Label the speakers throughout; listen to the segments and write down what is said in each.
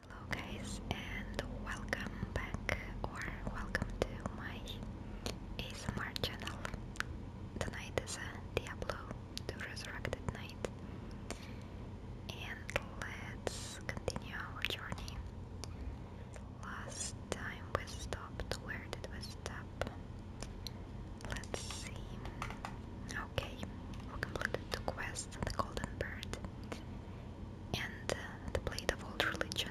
Speaker 1: Hello guys and welcome back or welcome to my ASMR channel. Tonight is a Diablo the Resurrected Night and let's continue our journey. Last time we stopped, where did we stop? Let's see. Okay, we completed the quest, the Golden Bird and uh, the blade of old religion.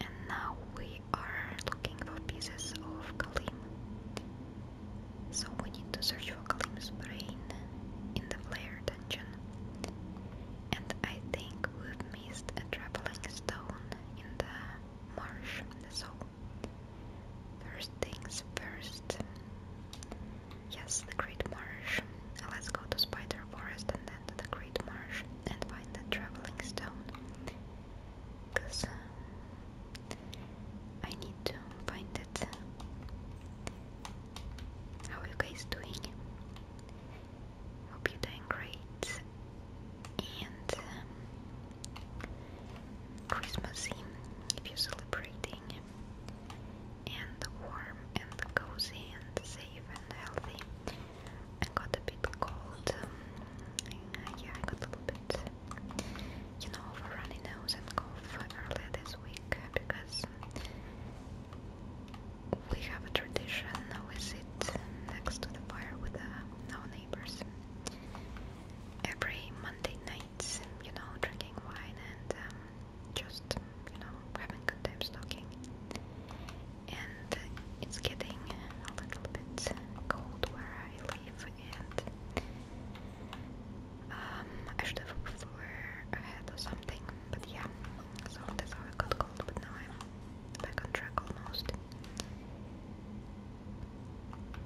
Speaker 1: And now we are looking for pieces of Kalim. So we need to search for Kalim's brain in the Flare dungeon. And I think we've missed a traveling stone in the marsh. Soul. first things first, Yes, the Great Marsh. Let's go to Spider Forest and then to the Great Marsh and find the Traveling Stone. Because um, I need to find it. How are you guys doing? Hope you're doing great. And um, Christmas Eve, if you're celebrating and warm and cozy and safe and healthy. I got a bit cold. Um, uh, yeah, I got a little bit, you know, of a runny nose and cough earlier this week because we have a tradition. We sit next to the fire with uh, our neighbors every Monday night, you know, drinking wine and um, just, you know, having good time talking. And it's getting a little bit cold where I live, and um, I should have a floor ahead or something, but yeah, so that's how I got cold, but now I'm back on track almost.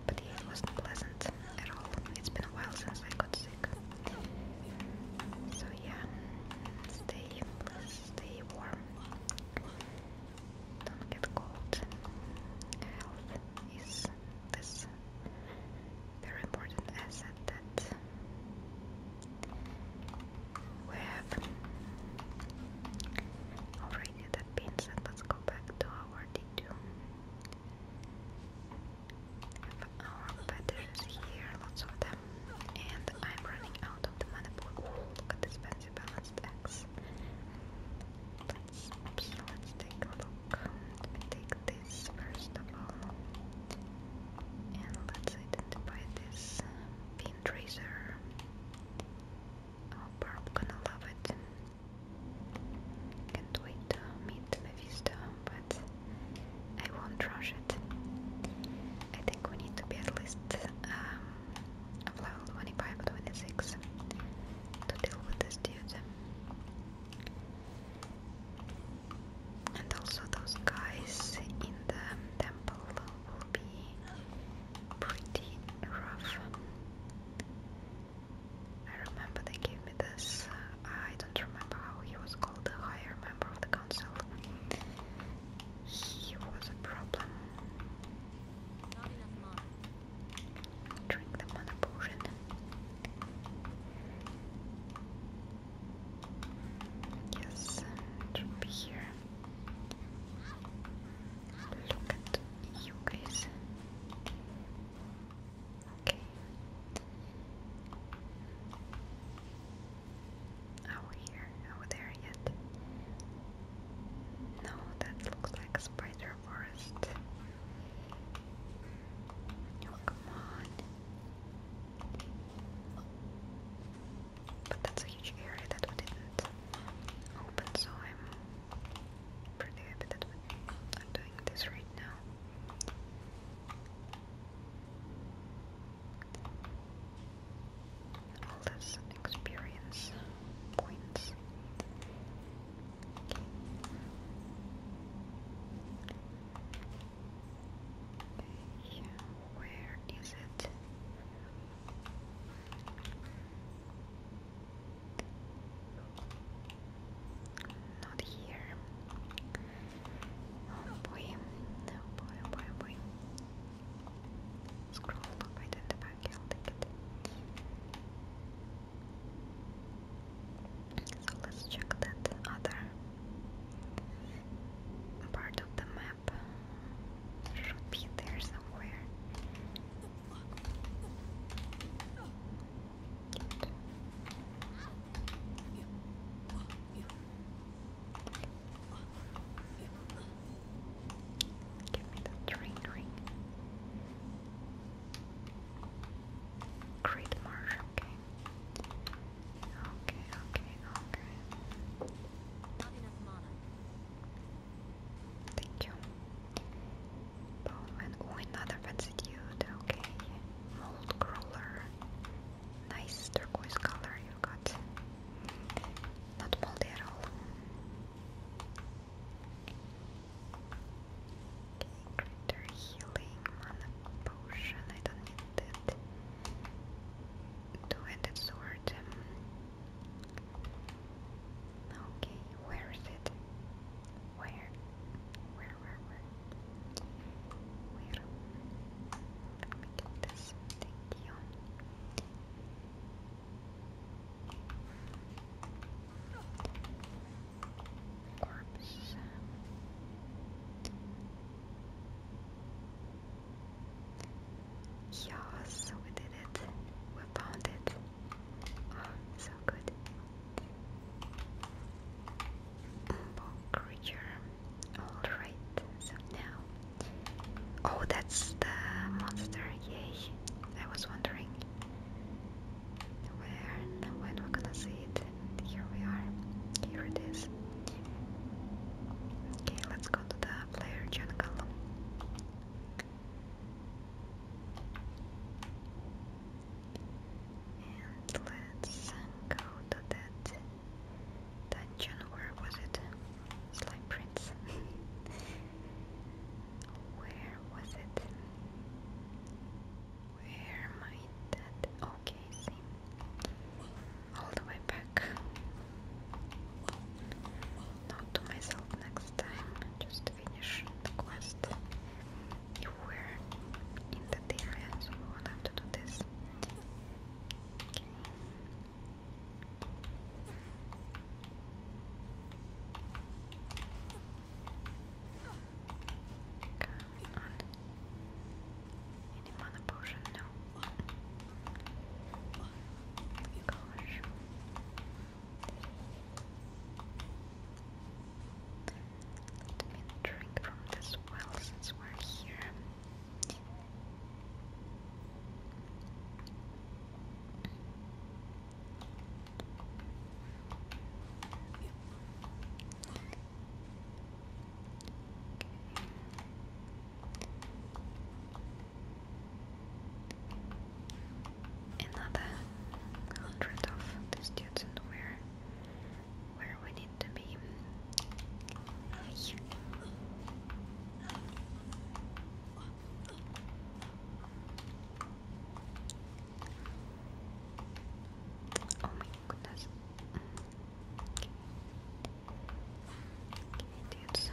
Speaker 1: But yeah, it wasn't pleasant at all. It's been a while since I got sick. So yeah, stay, stay warm. Don't get cold. Health is this very important asset that we have. Alright, that being let's go back to our D2 our um, feathers here, lots of them. And I'm running out of the mana pool. Oh, balanced axe. Let's, let's take a look. take this first of all. And let's identify this bean tracer. Oh, Barb gonna love it. Can't wait to meet Mephisto by I won't rush it. I think we need to be at least um, level 25 or 26 to deal with this dude. And also those guys in the temple will be pretty rough. I remember they gave me this, uh, I don't remember how he was called, a higher member of the council. He was a problem. Drink the mana Yes, it be here. Look at you guys. Okay. Oh, here. Oh, there yet. No, that looks like spider forest. Oh, come on. But that's a huge area that we didn't open, so I'm pretty happy that we are doing this right now. All this experience points. where is it? Not here. Oh boy. Oh boy, oh boy, oh boy. Scroll up, identify, I'll take it. So let's check that other part of the map. Should be there somewhere. Give me the train ring. Great marsh, okay. Okay, okay, Thank you. Oh, another fancy Okay. Mold crawler. Nice turquoise color you got. Not moldy at all. Okay, greater healing, mana potion. I don't need that. Two-handed sword. Okay, where is it? Where? Where were we? Where? Let me get this. Thank you. Corpse. Yes, we did it. We found it. Oh, so good creature. Alright, so now. Oh, that's the monster, yay. I was wondering where when we're gonna see it. here we are. Here it is. Okay, let's go to the player gen and let's go to that dungeon. Where was it? Slime Prince. Where was it? Where might that? Okay, All the way back. Not to myself next time. Just finish the quest you were in that area, so we will have to do this. Okay. Any mana potion? No. Gosh. There let me drink from this well since we're here. Another hundred of these dudes, and where we need to be. Oh my goodness. Can you do it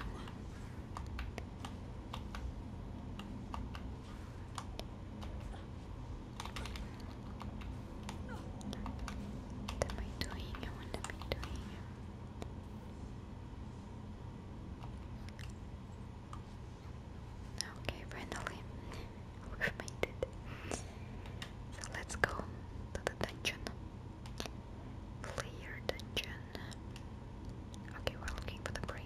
Speaker 1: what am I doing? What am I doing? Okay, finally, we made it. So let's go to the dungeon. Clear dungeon. Okay, we're looking for the brain.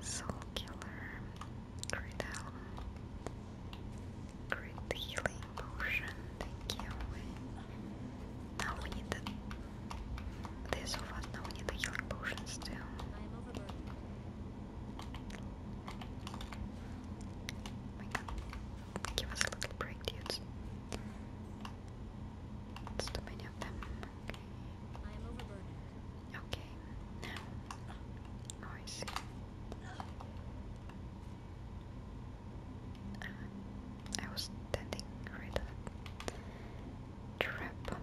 Speaker 1: Soul Killer, Great Helm, um, Healing Potion, thank you. Now we need the... They're so now we need the healing potions too. Oh my god, give us a little break, dudes. too many of them. I overburdened. Okay. Now, oh, uh, I was standing right at trap.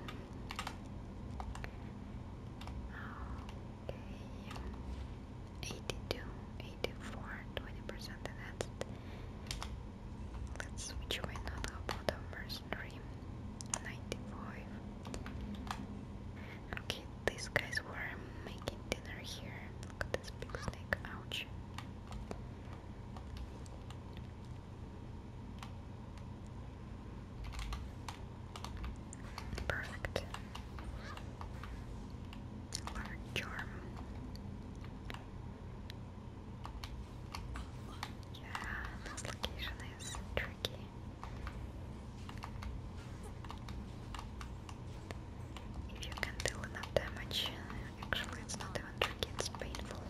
Speaker 1: Okay. 82, 84, 20% Let's switch why not about the mercenary 95. Okay, these guys were making dinner here. Look at this big snake, ouch. Perfect. Large charm. Yeah, this location is tricky. If you can deal enough damage, actually it's not even tricky, it's painful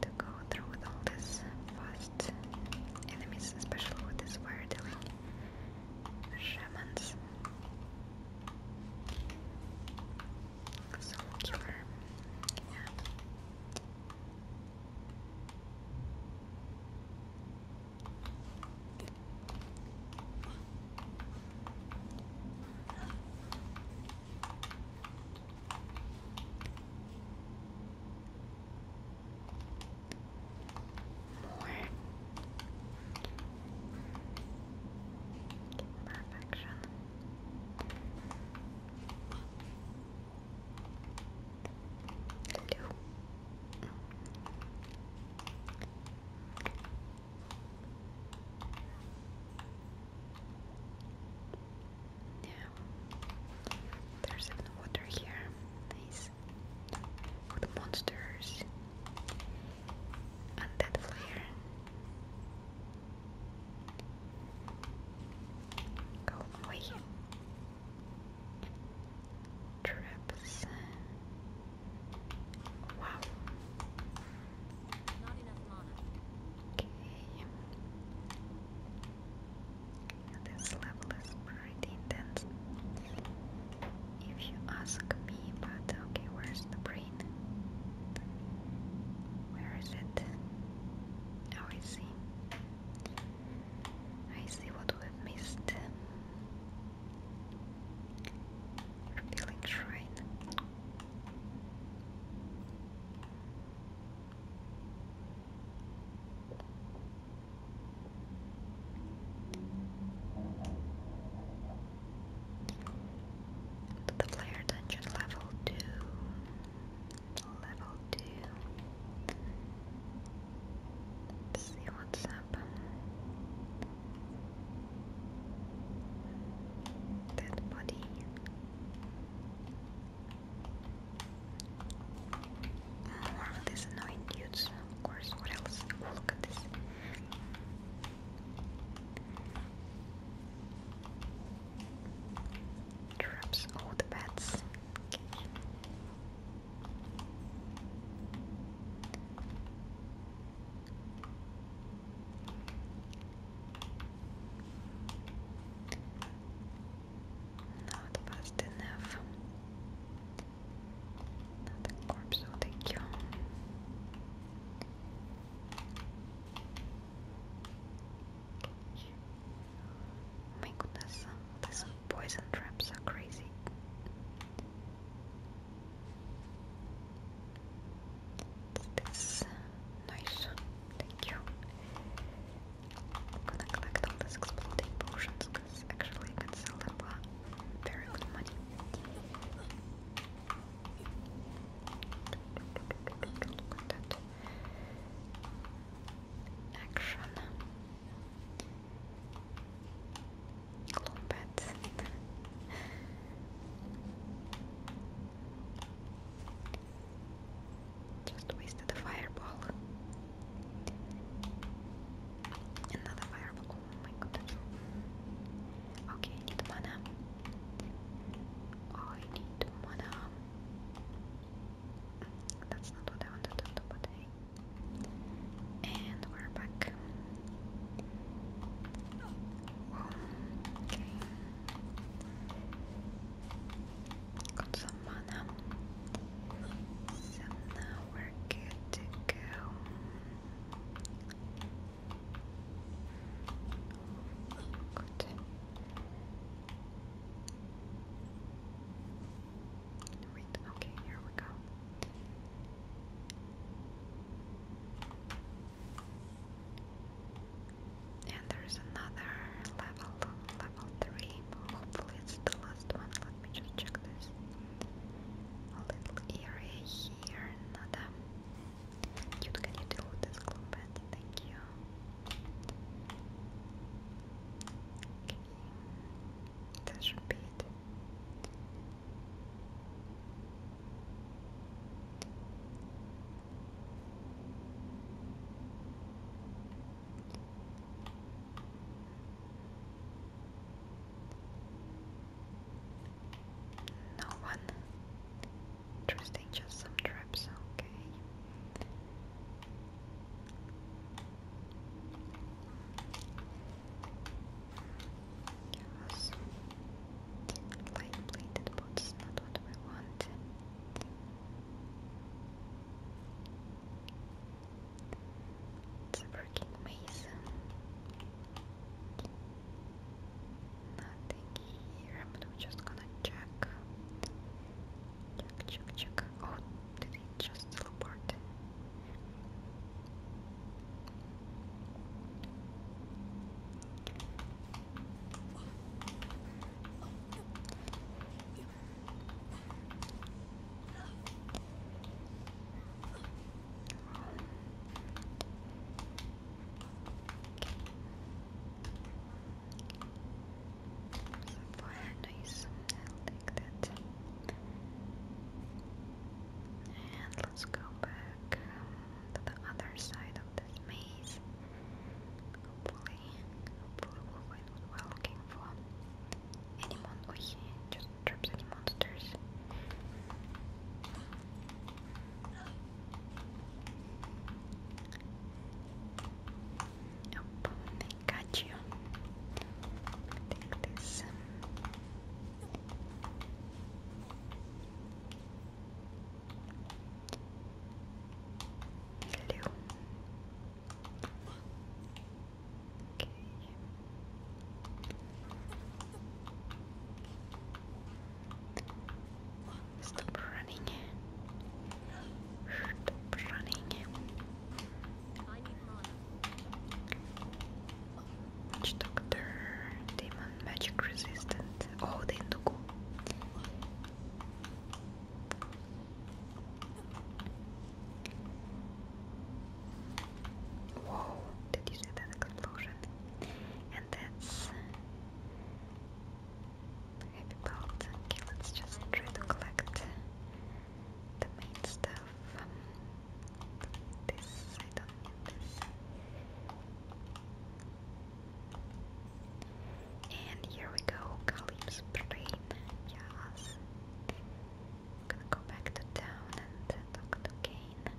Speaker 1: to go through with all these fast enemies, especially with this fire shamans. So cute. Yeah. More perfection. Hello. Now, there's some water here. Nice. the monsters. And that flare. Go away. Trips. Wow. Not This level is pretty intense. If you ask me, but okay, where's the where is it? Oh, I see. I see what we missed. Revealing shrine the player dungeon level 2 level 2 see what's up dead body more of these annoying dudes of course what else? Oh, look at this Traps all the bats. Not fast enough. Not a corpse will take you. Oh my goodness, these poison traps are crazy. This nice, thank you. I'm gonna collect all these exploding potions because actually I can sell them for very good money. Content. Action. Combat. Just wasted a fireball. Another fireball. Oh my goodness. Okay, need mana. I need mana. Oh, That's not what I wanted to do, but And we're back. Okay. Got some mana. So now we're good to go. Gut. Wait, okay, here we go. And there's another level, level 3. Hopefully, it's the last one. Let me just check this. A little area here, another. Cute, can you this glue Thank you. Okay. That No one. Interesting, just some traps, okay. Give us light plated boots, not what we want. It's a freaking Nothing here, but I'm just gonna check. Check, check, check. Oh, did he just teleport? Some forehead nice. i that. And let's go back to the other side of this maze. Hopefully, hopefully we'll find what looking for. Any mon- just drops any monsters. Yep, got you. Take this. Hello. Okay. Stop running. Stop running. Doctor Demon Magic Resistant. Oh, they took. Whoa, did you see that explosion? and that's heavy bolt. let's just try to collect the main stuff. This I don't need this. And here we go, Kalim's brain. Yes. gonna go back to town and talk to Kane.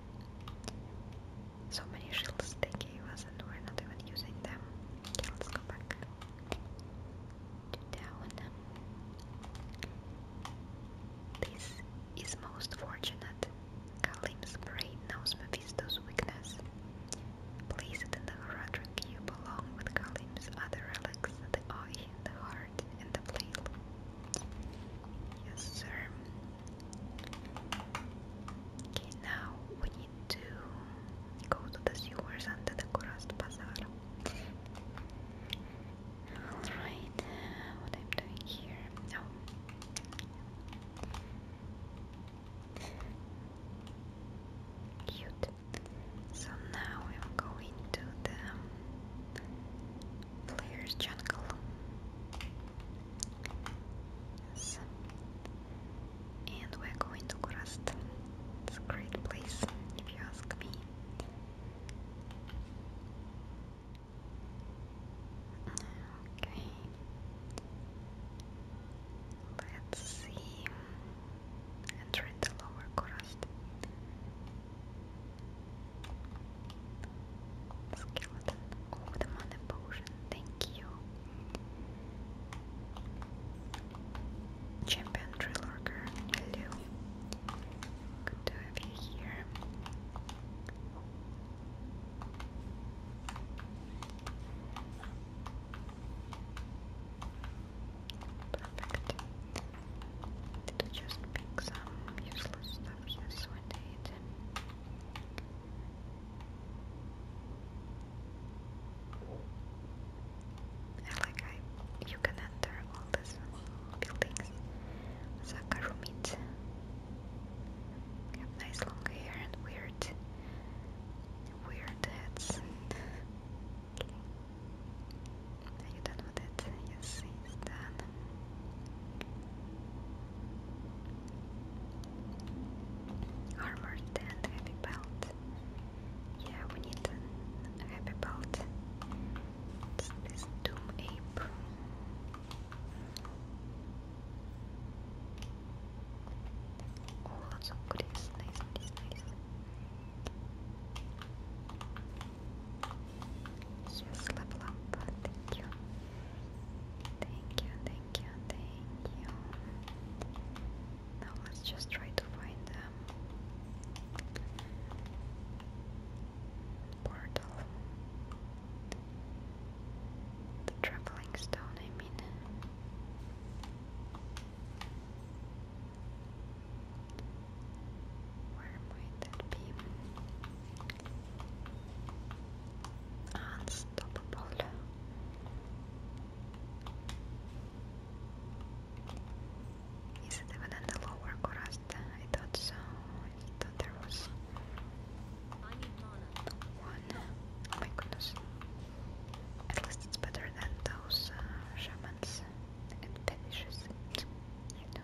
Speaker 1: So many shields they gave us and we're not even using them. let's go back to down. This is most fortunate. Kalim's brain knows Mephisto's weakness. Place it in the Horadra cube along with Kalim's other relics, the eye, the heart, and the flail. Yes, sir. Okay, now we need to go to the sewers under the Kurast Bazaar. Alright, what I'm doing here. No. Oh. Cute. So now I'm going to the player's jungle. And we're going to Kurast. It's a great place, if you ask me. Okay. Let's see. Enter into lower Kurast. Skeleton. Oh, potion. Thank you. Champion Trillorger. Hello. Good to have you here. Perfect. Did just pick some useless stuff? Yes, I I like you can enter all these buildings. Zakarumit. Have nice long hair and weird weird hats okay. Are you done with it? Yes, it's done. Armored and heavy belt. Yeah, we need a heavy belt. this Doom Ape. Oh, lots of goodies. Nice, nice, nice. Yes, level up. Thank you. Thank you, thank you, thank you. Now let's just try to find them. Portal. The traveling stone, I mean. Where might that be? Unstoppable. Is it even in the lower crust? I thought so. I thought there was one. Oh my goodness. At least it's better than those uh, shamans and fetishes. I know.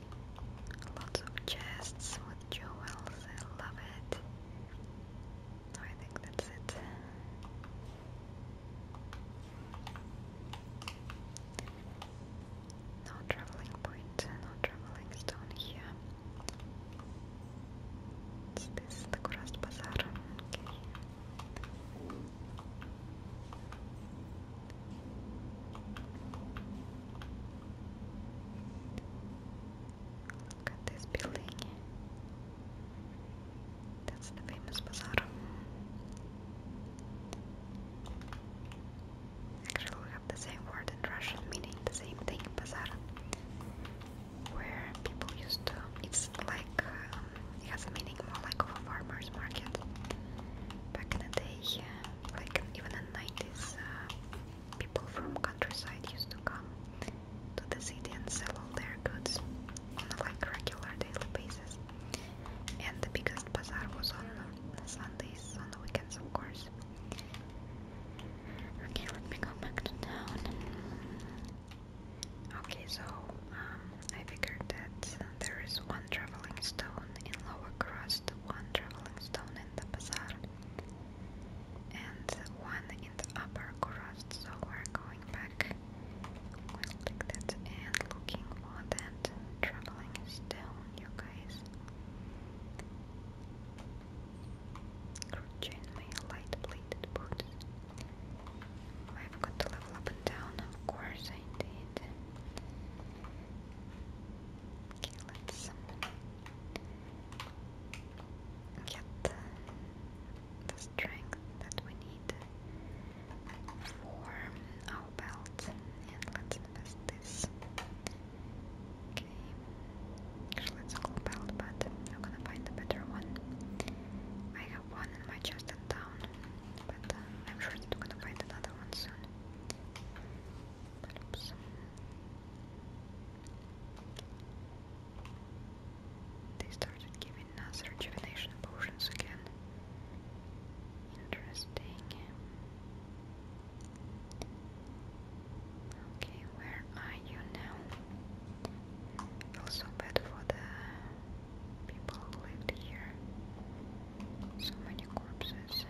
Speaker 1: Lots of chests with jewels, I love it. I think that's it. No traveling point, no traveling stone here. It's this the Kurast Bazaar. Look at this building. That's the famous bazaar. Actually, we have the same word in Russian, meaning the same thing, bazaar. Where people used to, it's like, um, it has a meaning more like of a farmer's market. Back in the day, yeah, like even in the 90s, People from countryside used to come to the city and sell all their goods on a like regular daily basis. And the biggest bazaar was on uh, Sundays, on the weekends, of course. Okay, let me go back to town. Okay, so um, I figured that there is one traveling stone in Lower Crust, one traveling stone in the bazaar, and one in the upper crust. So we're going back. We'll and looking for that traveling stone, you guys. Chainmail, light plated boots. I've got to level up and down, of course I did. Okay, let's get the strength that we need for our belt. And let's invest this. Okay, actually it's a belt, but I'm gonna find a better one. I have one in my chest and down, but um, I'm sure that I'm gonna find another one soon. But they started giving us rejuvenation potions again. Interesting. Okay, where are you now? Feels bad for the people who lived here. So many corpses.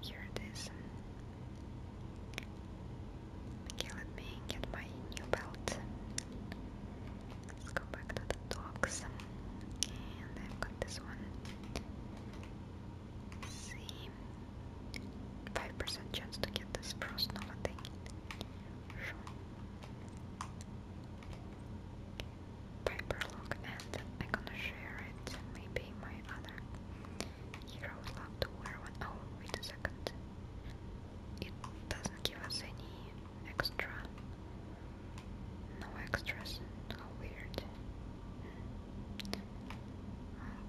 Speaker 1: Here it is. Okay, let me get my new belt. Let's go back to the dogs. And I've got this one. see. 5% chance to get this frost nova thing. Sure paper look and I'm gonna share it. Maybe my other hero love to wear one. Oh, wait a second. It doesn't give us any extra. No extras. How oh, weird.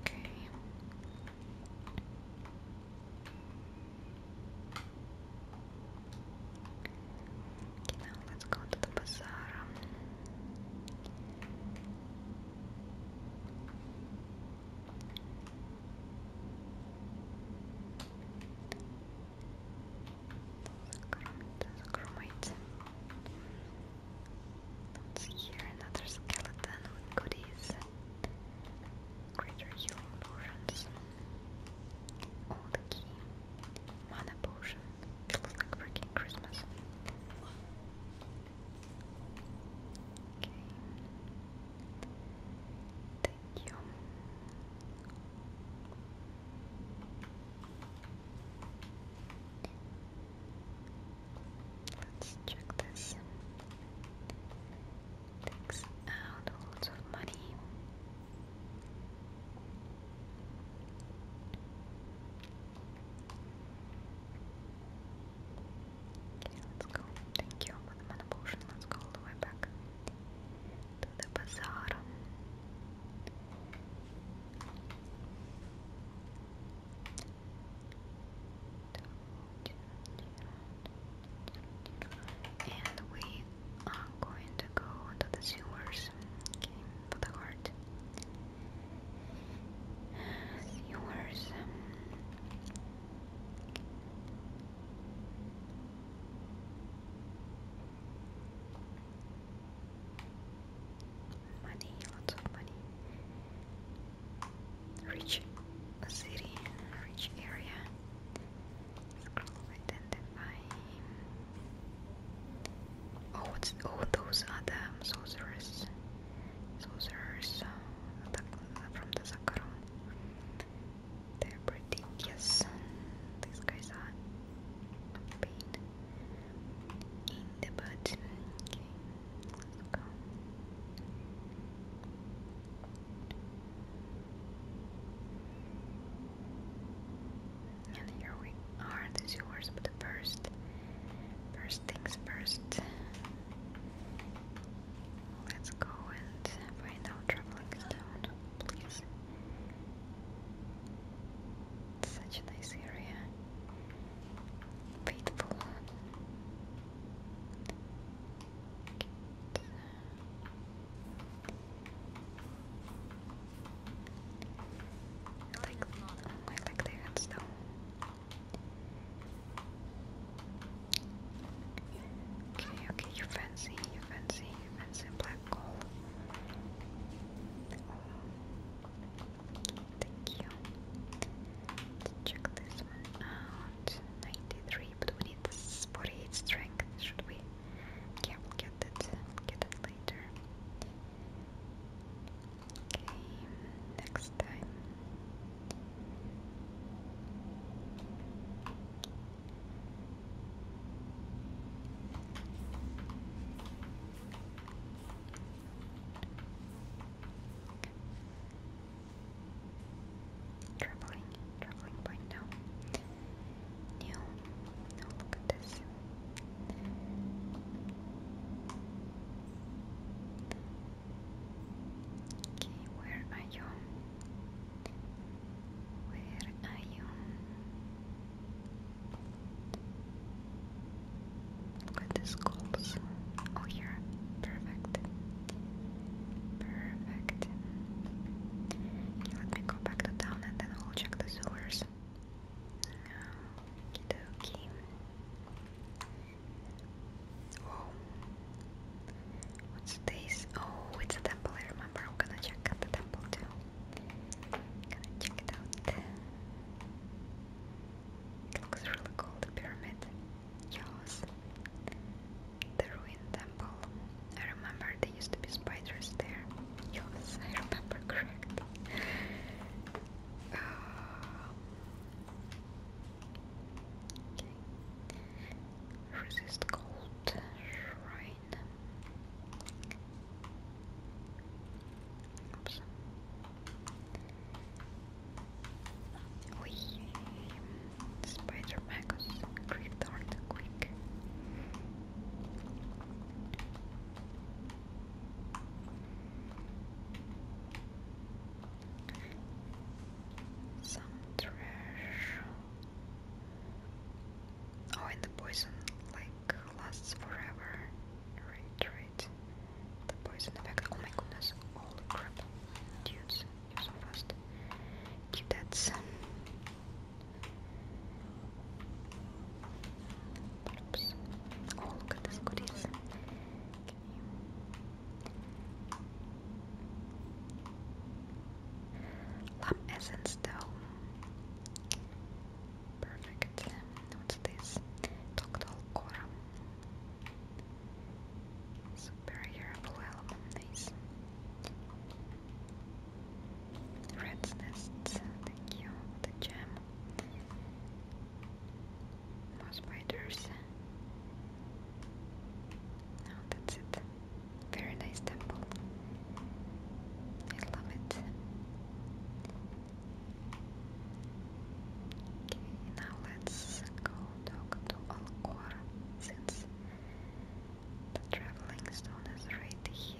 Speaker 1: Okay now let's go to the bazaar. There's a chromite. another skeleton with goodies. Greater healing potions. All the key. Mana potion. It looks like freaking Christmas. Okay. Thank you. Let's check this. Takes out lots of money. Okay, let's go. Thank you for the Let's go way back to the bazaar. And we are going to go to the sewers. Okay, for the heart viewers. Money, lots of money. Rich city, rich area. Scroll identify. Oh, it's, oh those are the sorcerers. Sorcerers uh, from the Zakkarum. They're pretty, yes. These guys are in the butt. Okay, let's go. And here we are, this yours, but first, first things first. Let's go and find out Traveling Stone, please. such a nice area. Faithful. Like, I like the hands Okay, okay, you fancy, you fancy, you fancy black gold. thank you. check this one out. 93, but we need 48 strength, should we? Yeah, we'll get it, get it later. Okay, next time. Troubling, troubling point now. No, look at this. Okay, where are you? Where are you? Look at the Oh, here. Perfect. Perfect. Let me go back to and then we'll check the sewers. Okie dokie. What's this? Oh, it's a temple, I remember. I'm gonna check out the temple too. Gonna check it out. It looks really cool, the pyramid. Yes. The ruined temple. I remember there used to be spiders there. Yes, I remember correct. Uh, Resist cold shrine. We Spider Magus Cryptart Quick. Some trash. Oh, and the poison like lasts forever. Right, The poison effect. Oh my goodness! Holy crap! Dudes, you're so fast. Keep that. Oh, look at this goodies. Okay. though. Perfect. What's this? Doctor Cora. Superior blue album, the rat's nests, thank you, the gem. More spiders. Now that's it. Very nice temple. I love it. Okay, now let's go to Alcor since the traveling stone is right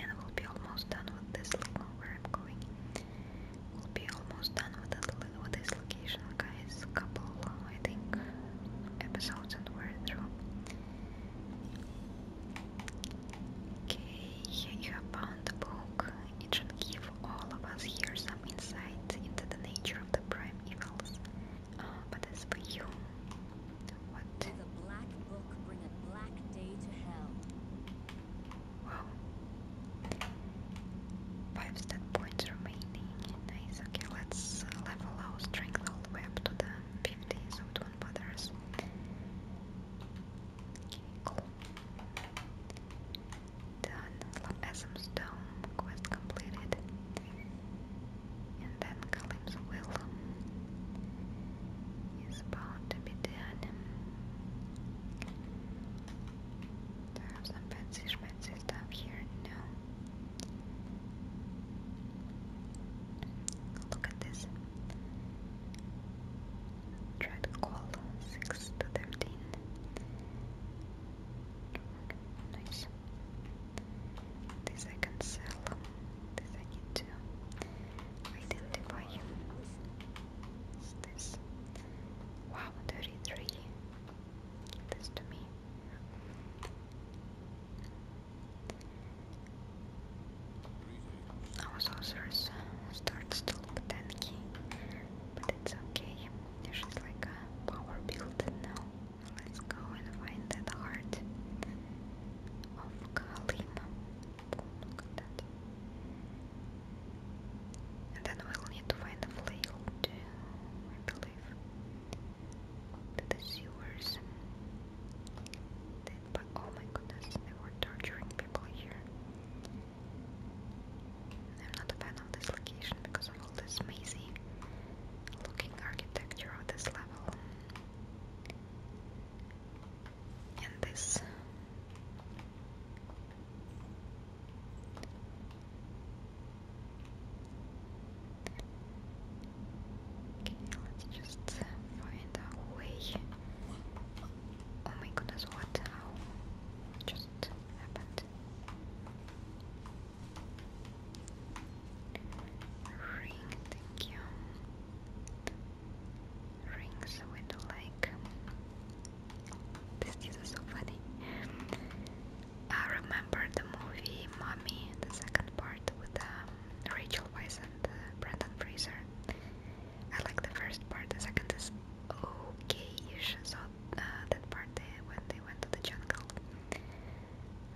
Speaker 1: and we'll be almost done with this. Look where I'm going. We'll be almost done with, this location, guys. couple, I think, episodes and we're through. Okay, you found the book. It should give all of us here some insight into the nature of the prime evils Oh, but that's for you. What? the black book bring a black day to hell? Five stat points remaining. Nice. Okay, let's uh, level our strength all the way up to the 50 so it won't bother Okay, Done. Asim's Dome. Quest completed. And then Calypso will is bound to be dead. There some fancy schmancy stuff here now. Look at this. Try call 6 to 13. Nice. This I can sell. This I need to identify. What's this? Wow, 33. this to me. Our sorceress starts to look tanky, but it's okay. She's like a power build now. Let's go and find that heart of Kalima. look at that. And then we'll need to find the flail too, I believe. To the sewers. But oh my goodness, they were torturing people here. I'm not a fan of this location because this mazy looking architecture on this level. And this let's just find our way. Oh my goodness, what? Just happened. Ring, thank you. Rings with like. This is so funny. I remember the movie Mommy, the second part with um, Rachel Weisz and uh, Brendan Fraser. I like the first part, the second is okay ish. So uh, that part they, eh, when they went to the jungle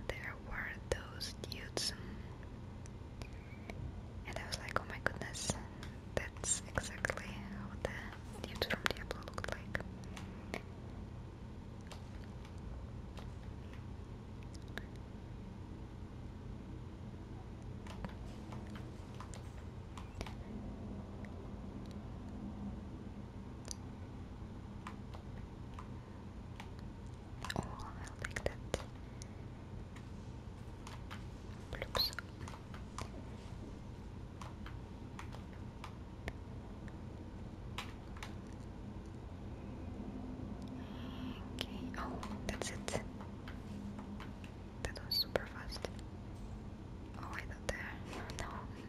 Speaker 1: there were those dudes. And I was like, oh my goodness, that's exactly how the dudes from Diablo looked like. Oh, I'll that. Oops. Okay, oh, that's it. That was super fast. Oh, I there. No,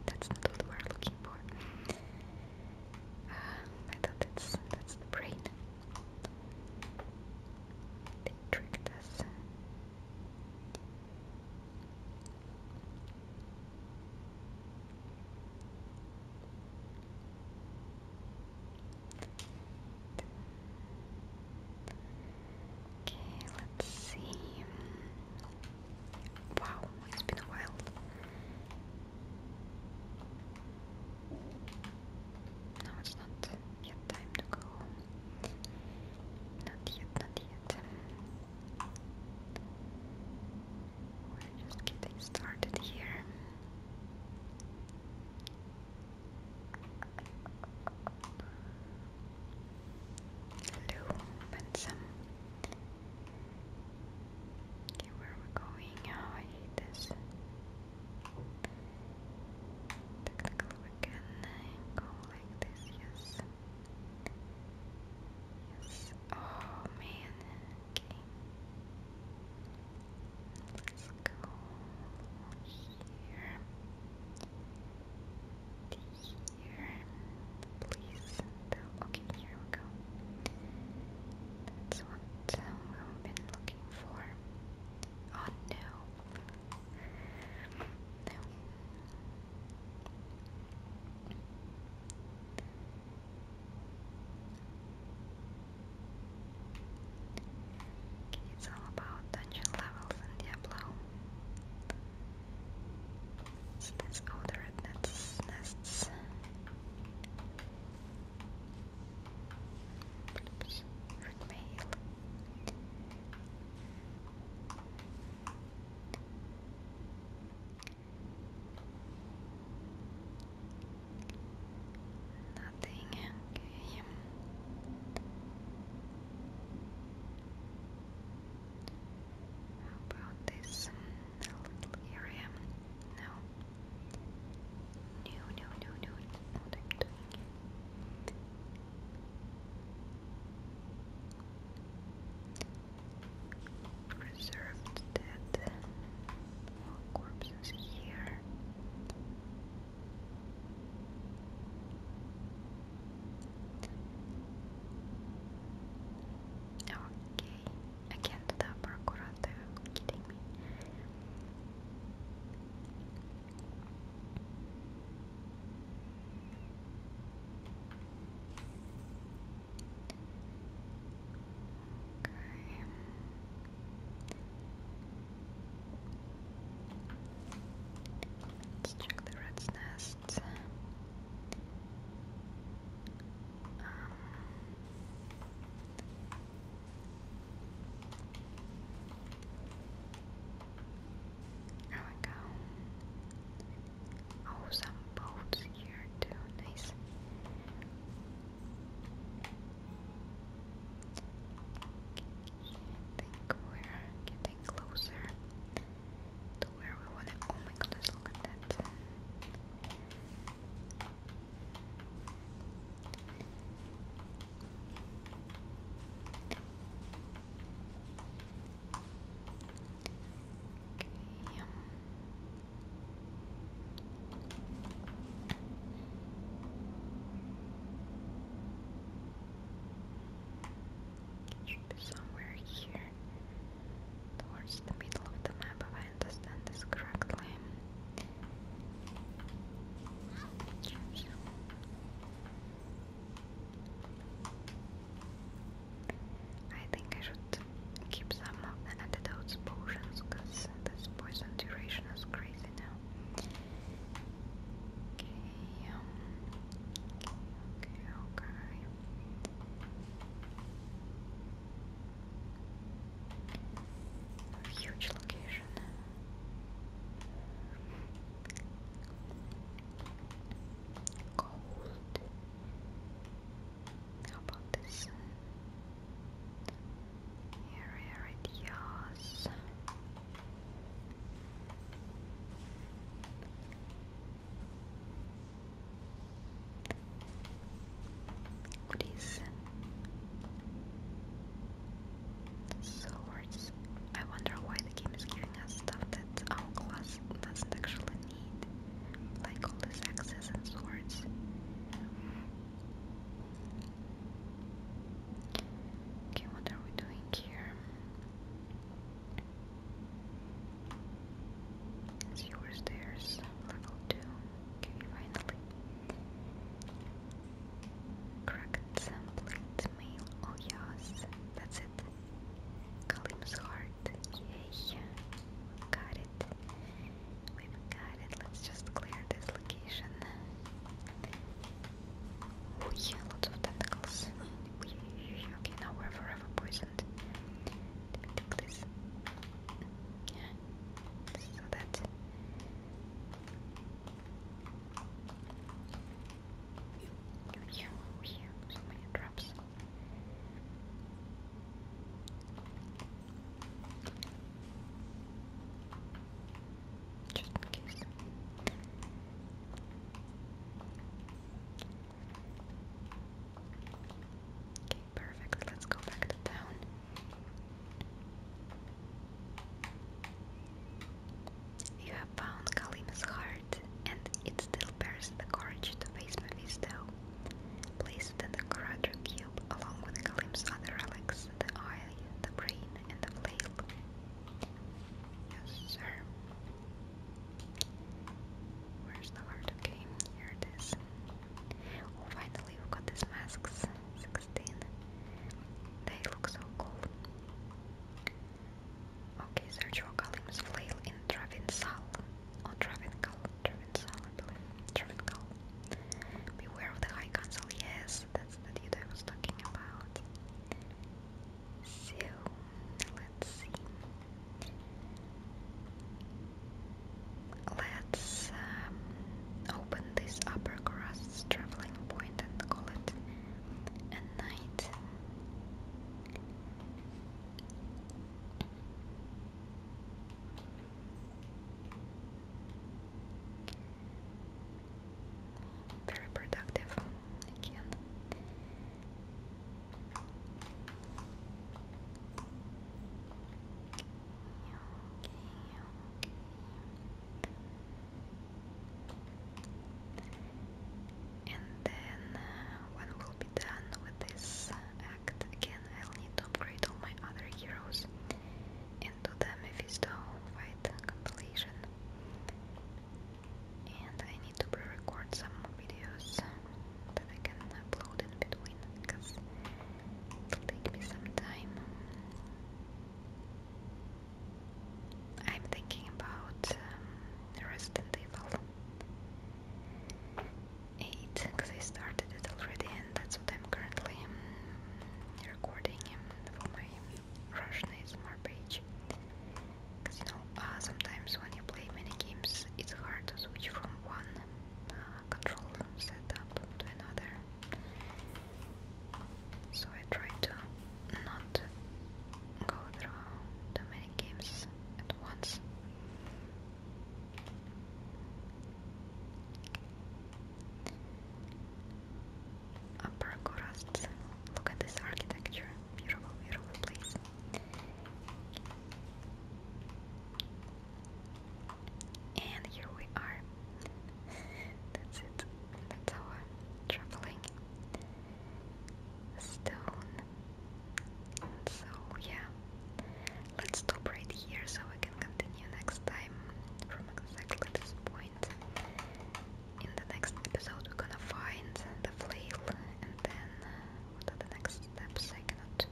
Speaker 1: that's not what we're looking keyboard. Uh, I thought that's that's the brain. They tricked us. Okay, let's see. Wow, it's been a while. No, it's not yet time to go Not yet, not yet. We're just getting started here. Hello, handsome. Okay, where we going? Oh, I hate this. we can go like this, yes. Yes. Oh, man. Okay. Let's go here here. Please. Okay, here we go. That's what I've uh, been looking for. Oh no. No. it's all about dungeon levels in Diablo. So that's all the rednecks' nests. Oops, red Nothing, okay. How about this? little area. No. No, no, no, no, that's I'm doing. Preserved dead corpses here. Okay. Again to the procurator. Are you kidding me? Okay. Let's check the rat's nest. Um, there we go. Oh, some boats here too. Nice. I think we're getting closer to where we want it. Oh my goodness, look at that. Okay. Um, somewhere here towards the middle of the map, if I understand this correctly. I think I should keep some of the antidotes potions because this poison duration is crazy now. okay, um, okay, okay. A huge location. Gold. How about this area right Please. Swords. I wonder why the game is giving us stuff that our class doesn't actually need. Like all these axes and swords. Okay, what are we doing here? Sewer stairs, level 2. Okay, finally. Cracked some mail. Oh, yes, that's it. Kalim's heart. Yay. Got it. we got it. Let's just clear this location. Oh, yeah, lots of tentacles. Okay, now we're forever poisoned. Please. Yeah. So that. Yeah, yeah, so many drops. Just in case. Okay, perfect. Let's go back to town. You have found Kalim's heart, and it still bears the courage to face Mephisto. Place it in the Quadro Cube along with Kalim's other relics, the eye, the brain, and the blade. Yes, sir. Where's the heart? Okay, here it is. Oh, finally, we've got these masks. 16. They look so cool. Okay, search for Kalim's flail in Travinsal. Or oh, Travincal. believe. Travincal. Beware of the High Council. Yes, that's that you I was talking about. So let's see. Let's um, open this upper crust traveling point and call it a night. Very productive again okay. And then uh, when we'll be done with this act again, I'll need to upgrade all my other heroes and do the Mephisto fight compilation and I need to pre-record some videos that I can upload in between because it'll take me some time. I'm thinking about um, Resident Evil 8 because I started it already and that's what I'm currently um, recording um, for my Russian ASMR page. Cause you know, uh, sometimes when you play many games, it's hard to switch from one uh, control setup to another. So I try to not go through too many games at once. Upper Gorast. Look at this architecture beautiful, beautiful place. And here we are. That's it. That's our traveling stone. So yeah, let's stop right here so we can continue next time from exactly this point. In the next episode, we're gonna find the flail and then what are the next steps? I cannot,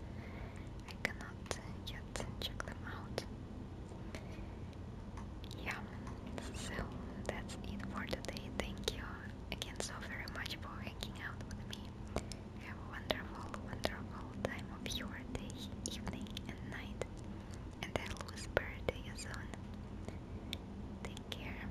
Speaker 1: I cannot yet check them out. Yeah, so that's it for today. Thank you again so very much for hanging out with me. Have a wonderful, wonderful time of your day, evening, and night. And I'll whisper to you soon. Take care.